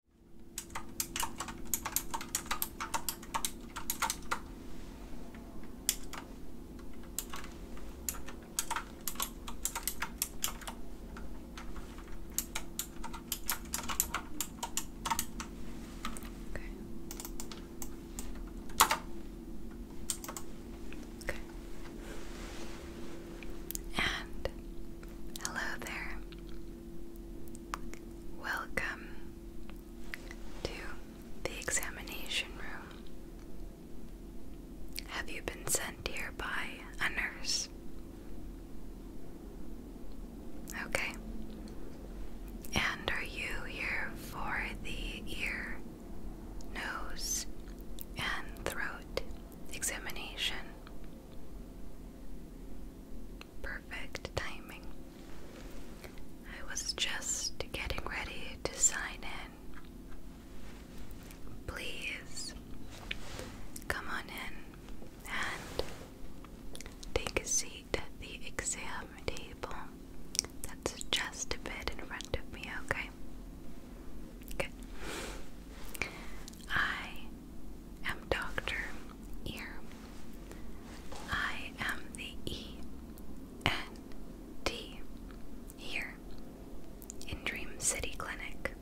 Okay. And hello there. Welcome to the examination room. Have you been sent here by a nurse? Okay. And are you here for the ear, nose, and throat examination? Perfect timing. I was just getting ready to sign in. Please come on in and take a seat at the exam table that's just a bit in front of me, okay? Good. I am Dr. Ear. I am the E N T here in Dream City Clinic.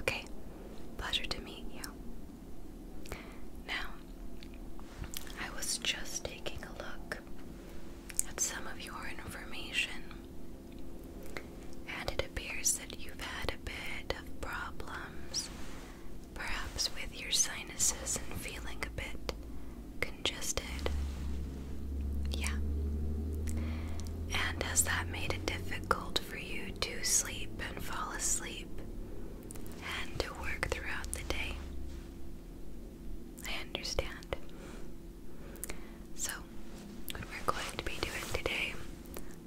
Okay, pleasure to meet you. Now, I was just taking a look at some of your information and it appears that you've had a bit of problems, perhaps with your sinuses and feeling a bit congested. Yeah. And has that made it difficult for you to sleep and fall asleep and to work throughout the day? I understand. So, what we're going to be doing today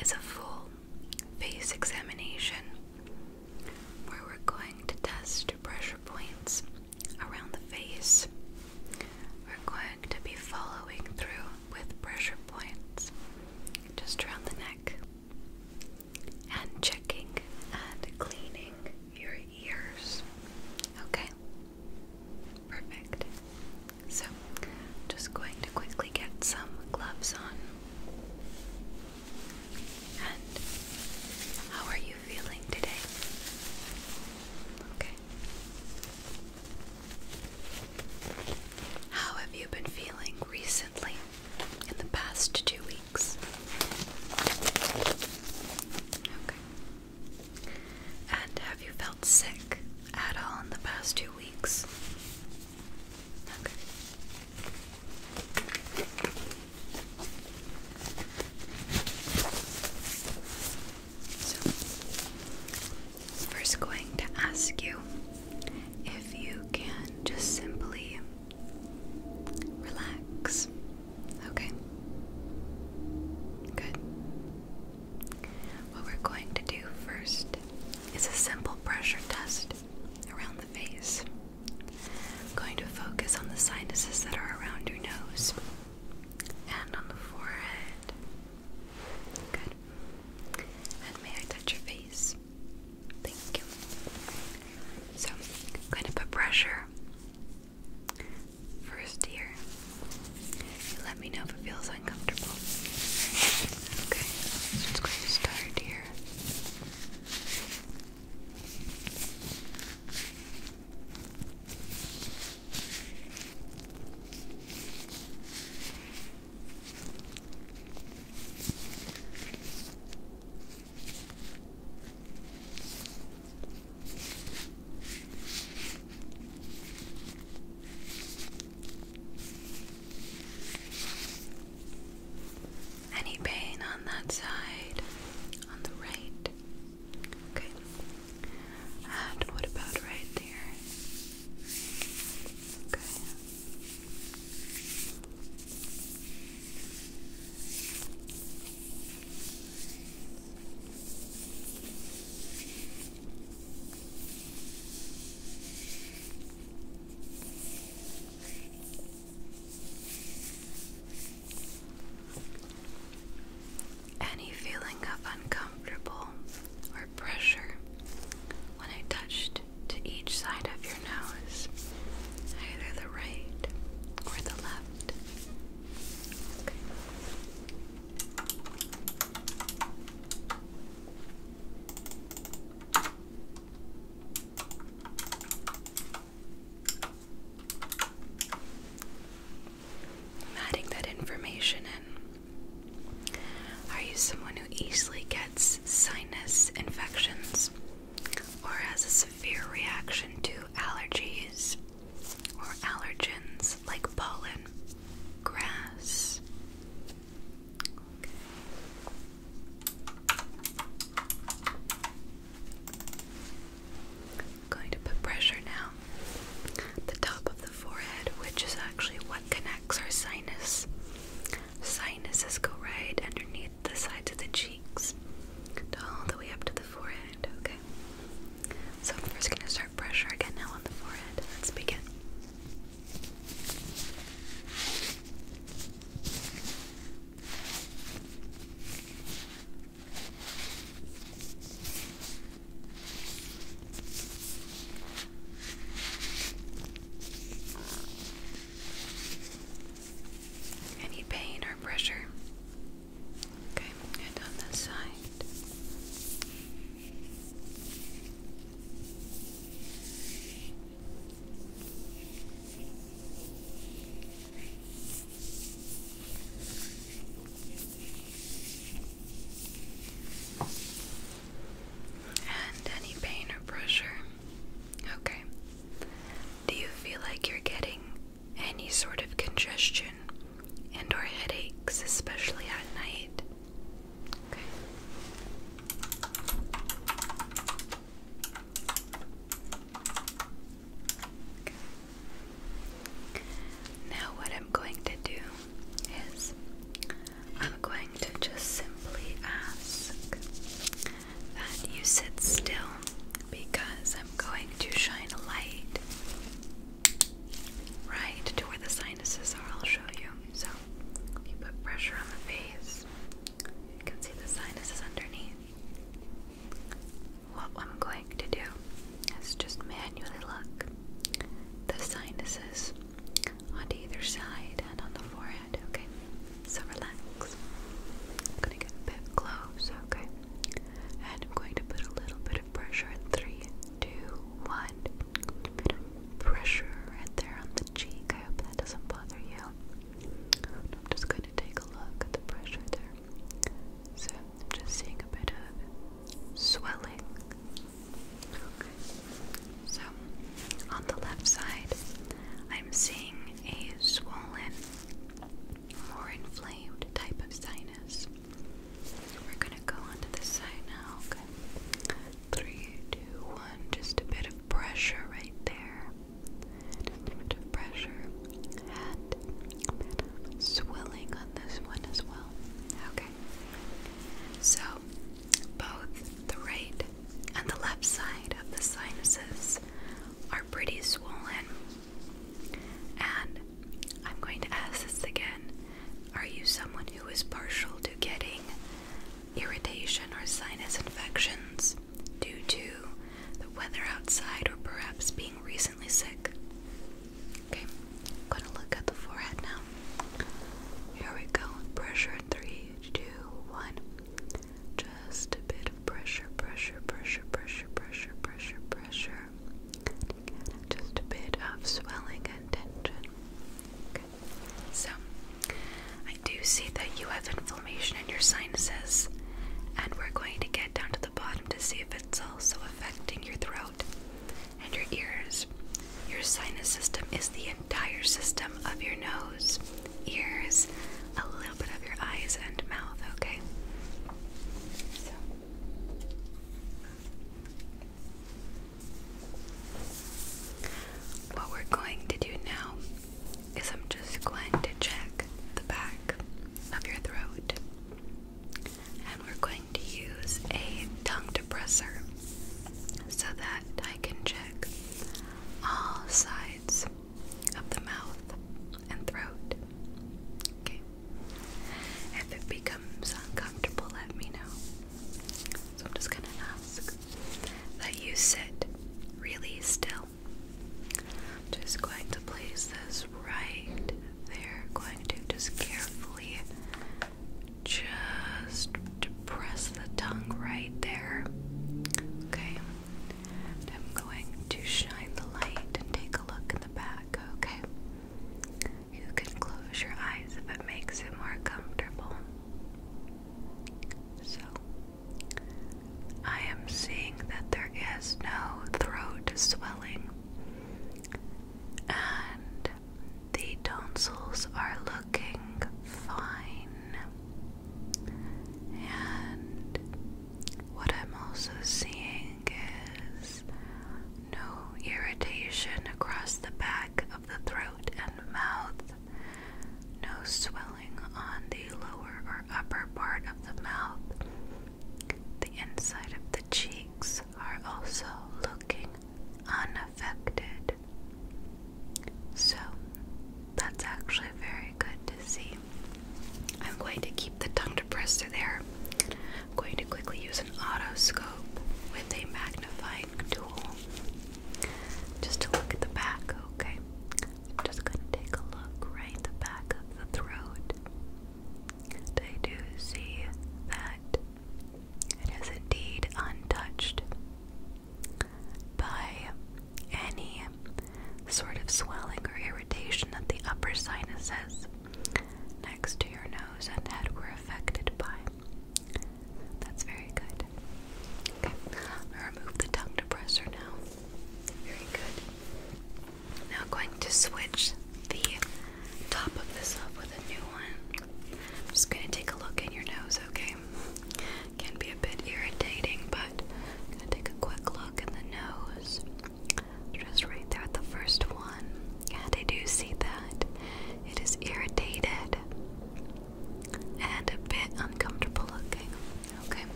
is a full face examination where we're going to test pressure points around the face. We're going to be following through with pressure points just around the neck and checking and cleaning your ears. Okay? Perfect. So, just going to quickly get some gloves on. And how are you feeling today? Okay. How have you been feeling recently in the past two weeks? Okay. And have you felt sick at all in the past two weeks? first, going to ask you if you can just simply relax. Okay. Good. What we're going to do first is a simple pressure test around the face. I'm going to focus on the sinuses that are around your nose and on the forehead. Good. And may I touch your face? Thank you. So, I'm going to put pressure first here let me know if it feels uncomfortable. Okay, I'm just start here. Any pain on that side? On the right? Okay. And what about right there? Okay. Any feeling of uncomfortable or pressure when I touched to each side of your nose, either the right or the left. I'm adding that information in. Are you someone who easily gets sinus infections or has a severe reaction to allergies or allergens like pollen, grass, going to put pressure now the top of the forehead, which is actually what connects our sinus. Sinuses go right underneath the sides of the cheeks, all the way up to the forehead. Okay. So I'm first going to start pressure again now on the forehead. Let's begin. Any pain or pressure? Okay, and on this side. And any pain or pressure? Okay. Do you feel like you're getting any sort of congestion and or headaches, especially at night? Okay. Now, what I'm going to do is I'm going to just simply ask that you sit still because I'm going to shine a light right to where the sinuses are. I'll show you. So, if you put pressure on the face, you can see the sinuses underneath. What I'm going to do is just manually look the sinuses on either side and on the forehead, okay? So relax. I'm gonna get a bit close, okay? And I'm going to put a little bit of pressure at three, two, one. pressure right there on the cheek. I hope that doesn't bother you. I'm just going to take a look at the pressure there. So I'm just seeing a bit of swelling. So on the left side, I'm seeing a swollen, more inflamed type of sinus. We're gonna go onto this side now, okay? Three, two, one, just a bit of pressure right there. Just a bit of pressure and swelling on this one as well. Okay. So both the right and the left side of the sinuses are pretty swollen. And I'm going to ask this again. Are you someone who is partial to getting irritation or sinus infections due to the weather outside or perhaps being recently sick? Okay, I'm going to look at the forehead now. Here we go. Pressure three, two, one. Just a bit of pressure, pressure, pressure, pressure, pressure, pressure, pressure. Just a bit of swelling and tension. So, I do see that you have inflammation in your sinuses, and we're going to get down to the bottom to see if it's also affecting your throat and your ears. Your sinus system is the entire system of your nose, ears, a little bit of your eyes and mouth, okay? What we're going to do now is I'm just going to check the back of your throat. And we're going to use a tongue depressor so that I can check all sides of the mouth and throat. Okay. If it becomes uncomfortable, let me know. So I'm just gonna ask that you sit really still. just going to place this right there. Going to just carefully just press the tongue right there. Okay. I'm going to shine the light and take a look in the back, okay? You can close your eyes if it makes it more comfortable. So, I am seeing that there is no throat swelling, and the tonsils are looking fine. And what I'm also seeing is no irritation across the back of the throat and mouth, no swelling on the lower or upper part of the mouth. The inside of the cheeks are also looking unaffected. So, that's actually very good to see. I'm going to keep the tongue depressed there I'm going to quickly use an autoscope with a magnifying tool just to look at the back, okay? I'm just going to take a look right at the back of the throat. They do see that it is indeed untouched by any sort of swelling or irritation that the upper sinuses next to your nose and head were affected by. That's very good. Okay, i remove the tongue depressor now. Very good. Now am going to switch the top of this up with a new one. I'm just going to take a look in your nose, okay? Can be a bit irritating, but I'm going to take a quick look in the nose. Just right there at the first one. Yeah, they do see that. It is irritated and a bit uncomfortable looking. Okay,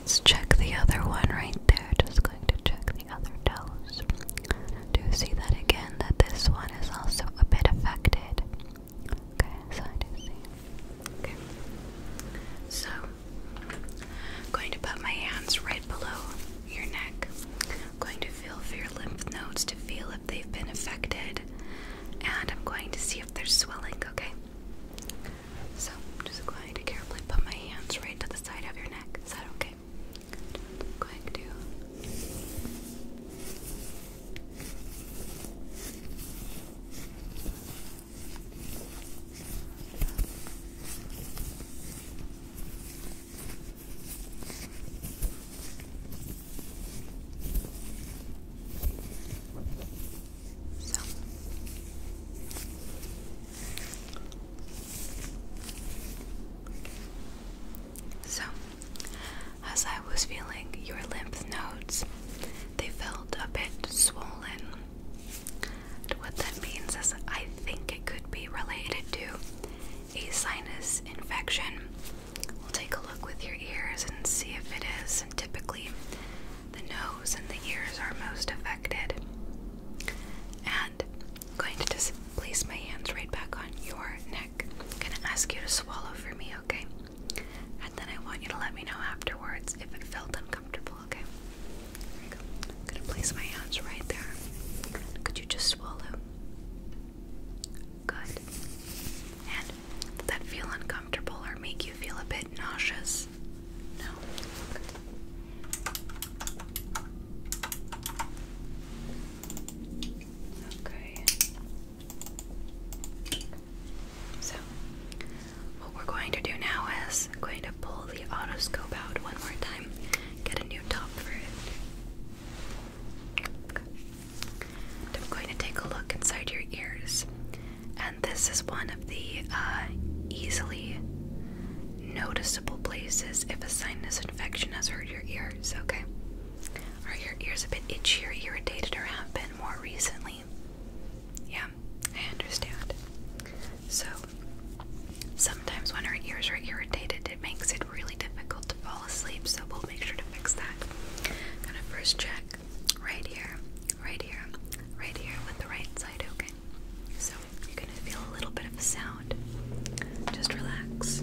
let's check the other one right there. Just going to check the other toes. Do see that again, that this one is also a bit affected. Okay, so I do see. Okay. So, am going to put my hands right below your neck. I'm going to to feel for your lymph nodes to feel if they've been affected. And I'm going to see if there's swelling, okay? So I'm just going to carefully put my hands right to the side of your neck. Is that okay? going to so so, as I was feeling your lymph nodes, they felt a bit swollen. what that means is I think it could be related to a sinus infection. We'll take a look with your ears and see if it is. And typically, the nose and the ears are most affected. And I'm going to just place my hands right back on your neck. I'm going to ask you to swallow for me, okay? And then I want you to let me know afterwards if it felt uncomfortable, okay? I'm gonna place my hands right there. Could you just swallow? Good. And does that feel uncomfortable or make you feel a bit nauseous? No. Okay. So, what we're going to do now is I'm going to pull the otoscope out one more time get a new top for it. And I'm going to take a look inside your ears, and this is one of the uh, easily noticeable places if a sinus infection has hurt your ears. Okay, are your ears a bit itchy or irritated, or have been more recently? Yeah, I understand. So Sometimes when our ears are irritated, it makes it really difficult to fall asleep, so we'll make sure to fix that. I'm Gonna first check right here, right here, right here with the right side, okay? So you're gonna feel a little bit of a sound. Just relax.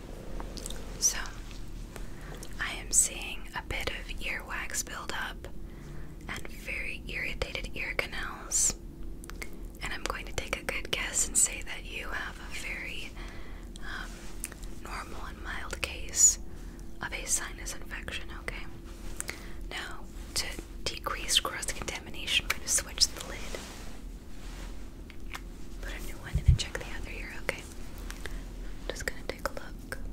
So, I am seeing a bit of earwax buildup and very irritated ear canals. And I'm going to take a good guess and say that you have a very um, normal and mild case of a sinus infection, okay? Now, to decrease cross contamination, I'm going to switch the lid. Put a new one in and check the other ear, okay? I'm just gonna take a look. Okay.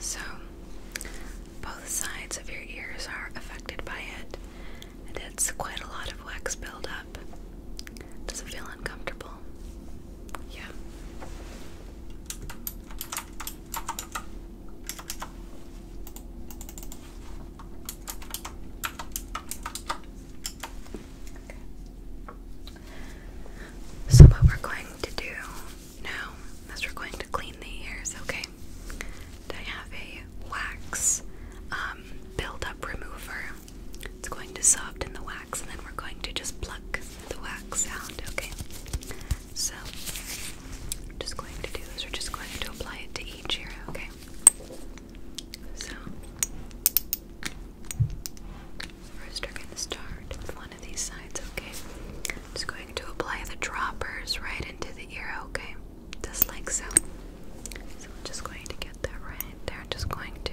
So, both sides of your ears are affected by it, and it's quite a lot of wax buildup. Does it feel uncomfortable? Yeah. Okay. So, what we're going to do now is we're going to clean the ears, okay? I have a wax um, buildup remover it's going to soften the wax, and then we're going to just pluck the wax out, okay? So, just going to do is we're just going to apply it to each ear, okay? So, first we're going to start with one of these sides, okay? Just going to apply the droppers right into the ear, okay? Just like so. So I'm just going to get that right there. I'm just going to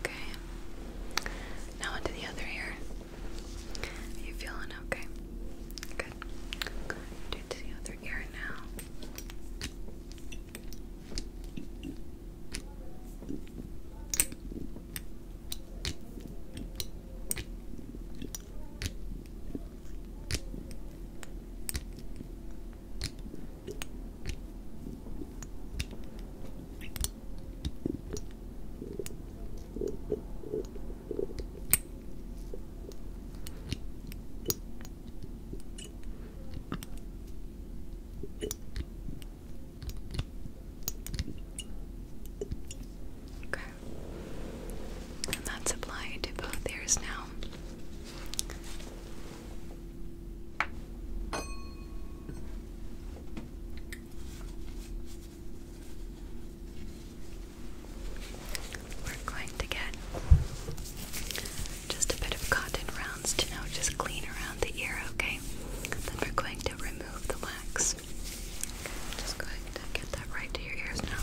Okay. Now onto the other ear. you feeling okay? Good. Do the other ear now. Okay. And that's applied to both ears now. We're going to get just a bit of cotton rounds to now just clean around the ear, okay? Then we're going to remove the wax. Okay, just ahead and get that right to your ears now.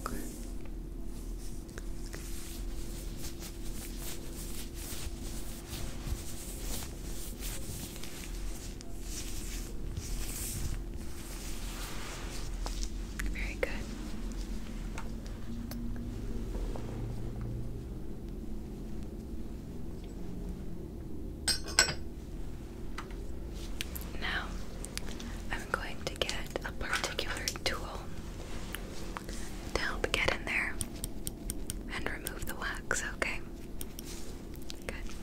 Okay. Very good. Now, I'm going to get a particular tool to help get in there and remove the wax, okay? Good.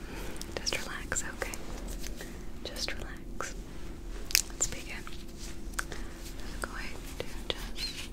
Just relax, okay? Just relax. Let's begin. I'm going to just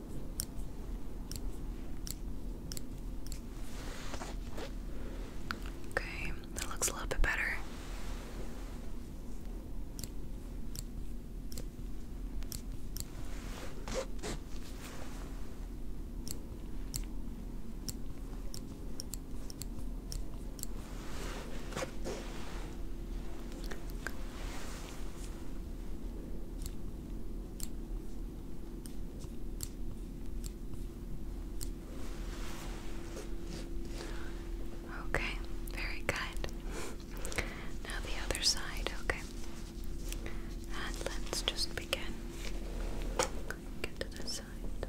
Okay, that looks a little bit better. Okay, very good. now the other side, okay. let's just begin. Get to this side.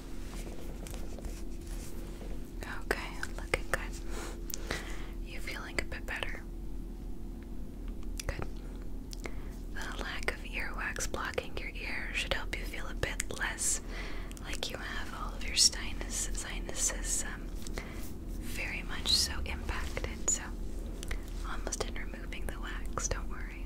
Okay, looking good. You feeling a bit better? Good. The lack of earwax blocking your ear should help you feel a bit less like you have all of your sinuses um, very much so impacted. So, almost in removing the wax, don't worry.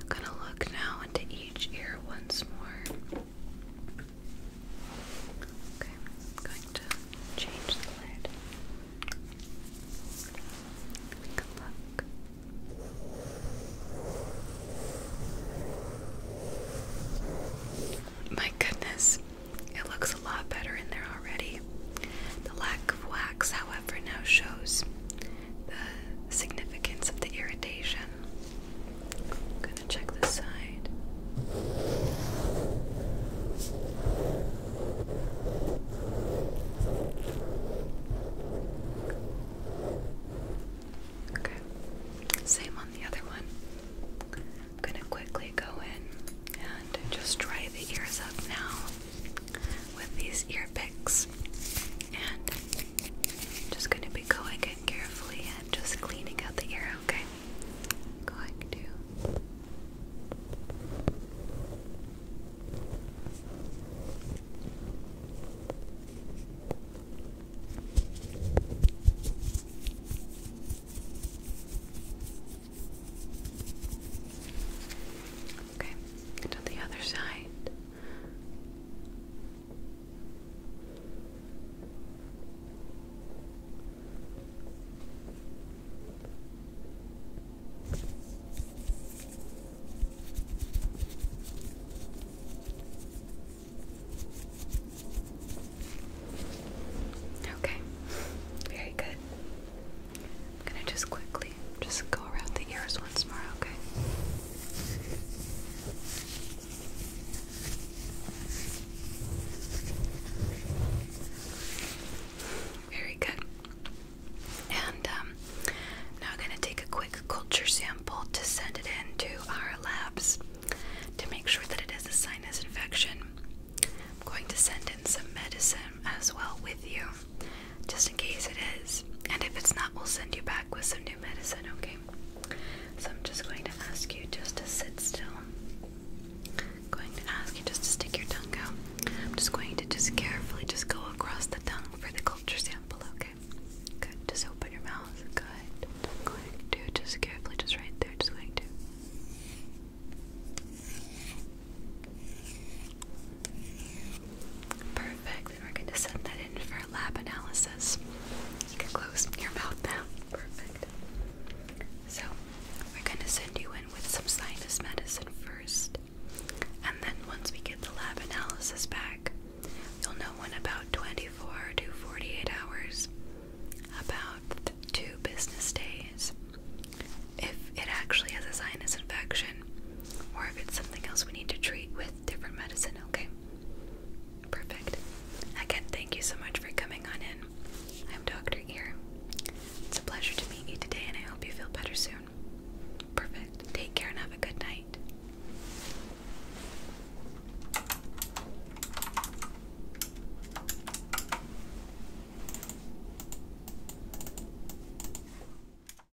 I'm gonna look now into each ear once more. Okay, going to change the lid. We can My goodness, it looks a lot better in there already. The lack of wax, however, now shows the significance of the irritation. I'm gonna check this side. Okay, same on the other one. I'm gonna quickly go in and just dry the ears up now with these ear picks. I'm just going to be going in carefully and just cleaning out the ear, okay? Going to. Okay, to the other side. Okay, very good. I'm going to just quickly just go around the ears once more, okay? Very good. And um, now I'm going to take a quick culture sample to send it in to our labs to make sure that it is a sinus infection. I'm going to send in some medicine as well with you just in case it is. And if it's not, we'll send you back with some new medicine, okay? So I'm just going to ask you just to sit still. I'm going to ask you just to stick your tongue out. I'm just going to just carefully just go across the tongue for the culture sample, okay? Good. Just open your mouth. Good. I'm going to just carefully just right there. Just going to. Perfect. we're going to send that in for a lab analysis. You can close your mouth now. Perfect. So, we're going to send you in with some sinus medicine first. And then, once we get the lab analysis back, you'll know in about 24 to 48 hours, about two business days, if it actually has a sinus infection or if it's something else we need to treat with different medicine, okay? Perfect. Again, thank you so much for coming on in. I'm Dr. Ear. It's a pleasure to meet you today, and I hope you feel better soon. Perfect. Take care and have a good night.